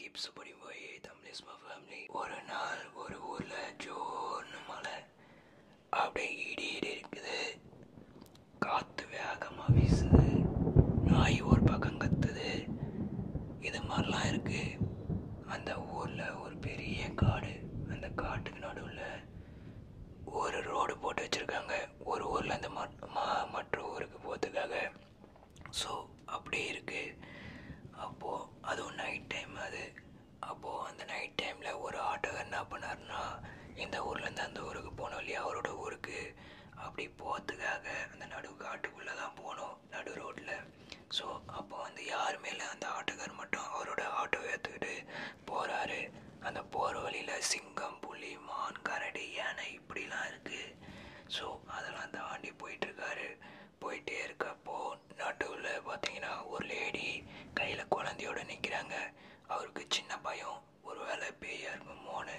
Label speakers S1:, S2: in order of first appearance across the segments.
S1: கிப்ஸுபடி போய் தம்லேஸ்மா ஃபேமிலி ஒரு நாள் ஒரு ஊரில் ஜோன்னு மலை அப்படியே இடியிட்டு இருக்குது காற்று வேகமாக வீசுது நாய் ஒரு பக்கம் கத்துது இது மாதிரிலாம் இருக்குது அந்த ஊரில் ஒரு பெரிய காடு அந்த காட்டுக்கு நடுவில் ஒரு ரோடு போட்டு வச்சுருக்காங்க ஒரு ஊரில் அந்த மற்ற ஊருக்கு போகிறதுக்காக ஸோ அப்படி இருக்குது அப்போது அதுவும் நைட் டைம் அது அப்போது அந்த நைட் டைமில் ஒரு ஆட்டோக்கார் என்ன பண்ணார்னா இந்த ஊர்லேருந்து அந்த ஊருக்கு போனோம் இல்லையா அவரோட ஊருக்கு அப்படி போகிறதுக்காக அந்த நடு காட்டுக்குள்ளே தான் போனோம் நடு ரோட்டில் ஸோ அப்போ வந்து யாருமே இல்லை அந்த ஆட்டோக்கார் மட்டும் அவரோட ஆட்டோவை எடுத்துக்கிட்டு போகிறாரு அந்த போகிற வழியில் சிங்கம் புலி மான் கரடி யானை இப்படிலாம் இருக்குது ஸோ அதெல்லாம் தாண்டி போயிட்டுருக்காரு போயிட்டே இருக்கப்போ நடுவில் பார்த்தீங்கன்னா ஒரு லேடி கையில் குழந்தையோட நிற்கிறாங்க அவருக்கு சின்ன பயம் ஒரு வேலை பேயாக இருக்கும் மோனு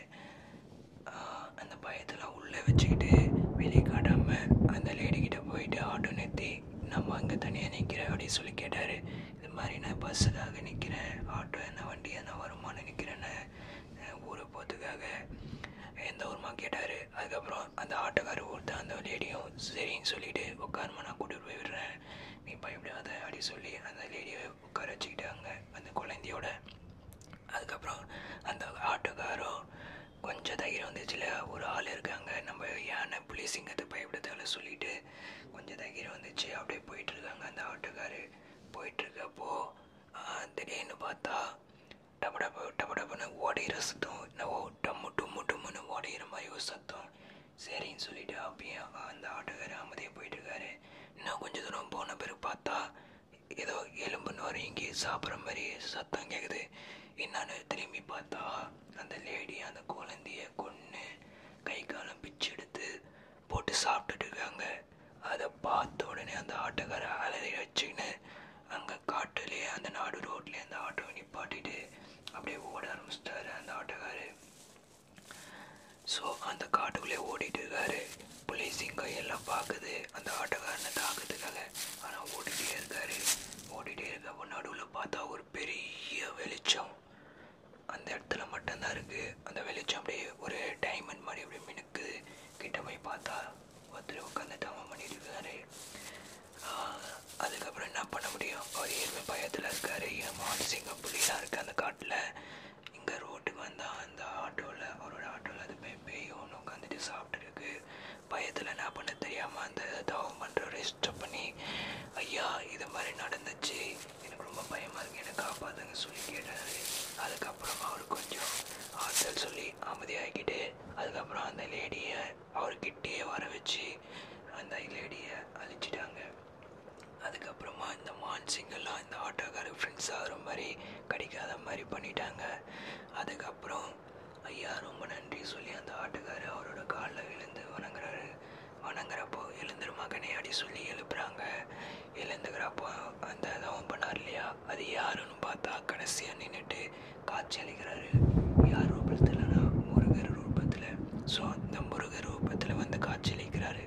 S1: அந்த பயத்தெல்லாம் உள்ளே வச்சுக்கிட்டு வெளியே காட்டாமல் அந்த லேடி லேடிக்கிட்ட போயிட்டு ஆட்டோ நிறுத்தி நம்ம அங்கே தனியாக நிற்கிறேன் அப்படின்னு சொல்லி கேட்டார் இது மாதிரி நான் பஸ்ஸுக்காக நிற்கிறேன் ஆட்டோ என்ன வண்டி என்ன வருமானம் நிற்கிறேன்னு ஊருக்கு போகிறதுக்காக எந்த ஊருமா கேட்டார் அதுக்கப்புறம் அந்த ஆட்டோக்காரர் ஒருத்தர் அந்த லேடியும் சரின்னு சொல்லிவிட்டு உட்காருமா நான் கூட்டிகிட்டு போய் விடுறேன் நீ பயப்படாத அப்படி சொல்லி அந்த லேடியை உட்கார வச்சுக்கிட்டாங்க அந்த குழந்தையோட அதுக்கப்புறம் அந்த ஆட்டோக்காரரும் கொஞ்சம் தைரியம் வந்துச்சுல ஒரு ஆள் இருக்காங்க நம்ம யானை புலி சிங்கத்தை பயப்படுத்தால சொல்லிட்டு கொஞ்சம் தைரியம் வந்துச்சு அப்படியே போயிட்டுருக்காங்க அந்த ஆட்டோக்காரு போயிட்டுருக்கப்போ திடீர்னு பார்த்தா டபு டபு டபு டபுன்னு ஓடிகிற சத்தம் என்னவோ டம்மு டும்மு டும்முன்னு ஓடிகிற மாதிரி ஒரு சத்தம் சரின்னு சொல்லிட்டு அப்பயே அந்த ஆட்டோக்காரர் அமைதியாக போயிட்டுருக்காரு இன்னும் கொஞ்சம் தூரம் போன பிறகு பார்த்தா ஏதோ எலும்பு நொறுங்கி சாப்பிட்ற மாதிரி சத்தம் கேட்குது என்னன்னு திரும்பி பார்த்தா அந்த லேடி அந்த குழந்தைய கொன்று கை காலம் பிச்சு எடுத்து போட்டு சாப்பிட்டுட்டு இருக்காங்க அதை பார்த்த உடனே அந்த ஆட்டோக்கார அலறி வச்சுக்கின்னு அங்கே காட்டுலேயே அந்த நாடு ரோட்லேயே அந்த ஆட்டோவை நிப்பாட்டிட்டு அப்படியே ஓட ஆரம்பிச்சிட்டாரு அந்த ஆட்டக்காரர் ஸோ அந்த காட்டுக்குள்ளே ஓடிட்டு இருக்காரு புலிசிங்க எல்லாம் பார்க்குது அந்த ஆட்டோக்காரனை தாக்குறதுக்காக ஆனால் ஓடிட்டே இருக்காரு ஓடிட்டே இருக்கப்போ நடுவில் பார்த்தா ஒரு பெரிய வெளிச்சம் அந்த இடத்துல மட்டும்தான் இருக்குது அந்த வெளிச்சம் அப்படியே ஒரு டைமண்ட் மாதிரி அப்படியே மினுக்குது கிட்ட போய் பார்த்தா ஒருத்தர் உட்காந்து தவம் பண்ணிட்டு இருக்காரு அதுக்கப்புறம் என்ன பண்ண முடியும் அவர் ஏழ்மை பயத்தில் இருக்கார் என் மான்சிங்க புள்ளிலாம் இருக்குது அந்த காட்டில் இங்கே ரோட்டுக்கு வந்தால் அந்த ஆட்டோவில் அவரோட ஆட்டோவில் அது போய் பேய் ஒன்று உட்காந்துட்டு சாப்பிட்டுருக்கு பயத்தில் என்ன பண்ண தெரியாமல் அந்த தவம் பண்ணுற ரெஜிஸ்டர் பண்ணி ஐயா இது மாதிரி நடந்துச்சு எனக்கு ரொம்ப பயமாக இருக்குது என்னை காப்பாற்றுங்க சொல்லி கேட்டார் அதுக்கப்புறம் அவர் கொஞ்சம் ஆறுதல் சொல்லி அமைதியாகிக்கிட்டு அதுக்கப்புறம் அந்த லேடியை அவர்கிட்டயே வர வச்சு அந்த லேடியை அழிச்சிட்டாங்க அதுக்கப்புறமா இந்த மான்சிங்கெல்லாம் இந்த ஆட்டோக்கார ஃப்ரெண்ட்ஸ் ஆகிற மாதிரி கிடைக்காத மாதிரி பண்ணிட்டாங்க அதுக்கப்புறம் ஐயா ரொம்ப நன்றி சொல்லி அந்த ஆட்டோக்காரர் அவரோட காலில் விழுந்து வணங்குறாரு வணங்குறப்போ எழுந்துரு மகனே அடி சொல்லி எழுப்புறாங்க இழந்துக்கிறப்போ அந்த தவம் பண்ணார் இல்லையா அது யாருன்னு பார்த்தா கடைசியாக நின்றுட்டு காட்சி அளிக்கிறாரு யார் ரூபத்தில்னா முருகர் ரூபத்தில் ஸோ அந்த முருகர் ரூபத்தில் வந்து காட்சி அளிக்கிறாரு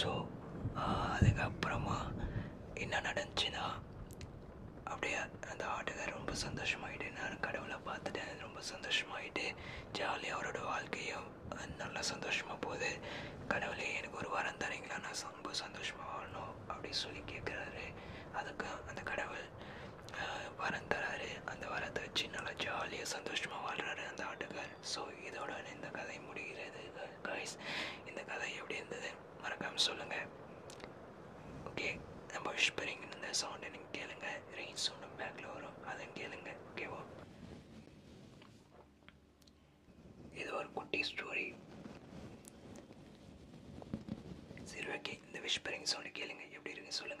S1: ஸோ அதுக்கப்புறமா என்ன நடந்துச்சுன்னா அப்படியே அந்த ஆட்டுக்கார் ரொம்ப சந்தோஷமாகிட்டு நான் கடவுளை பார்த்துட்டேன் ரொம்ப சந்தோஷமாகிட்டு ஜாலியாக அவரோட வாழ்க்கையும் நல்லா சந்தோஷமாக போகுது கடவுளே எனக்கு ஒரு வாரம் தரீங்களா நான் ரொம்ப சந்தோஷமாக வாழணும் அப்படின்னு சொல்லி கேட்குறாரு அதுக்கு அந்த கடவுள் வரம் தராரு அந்த வரத்தை வச்சு நல்லா ஜாலியாக சந்தோஷமாக வாழ்கிறாரு அந்த ஆட்டுக்கார் ஸோ இதோட இந்த கதை முடிகிறது காய்ஸ் இந்த கதை எப்படி இருந்தது மறக்காமல் சொல்லுங்கள் ஓகே நம்ம விஷ்பரிங் இந்த சவுண்டை நீங்கள் கேளுங்கள் ரெயின் சவுண்டும் பேக்கில் வரும் அதை கேளுங்கள் ஓகேவா இது ஒரு குட்டி ஸ்டோரி சரி ஓகே இந்த விஷ் விஷ்பரிங் சவுண்டு கேளுங்க எப்படி இருக்குன்னு சொல்லுங்க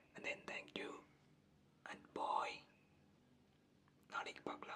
S1: and then thank you and boy nadik pakla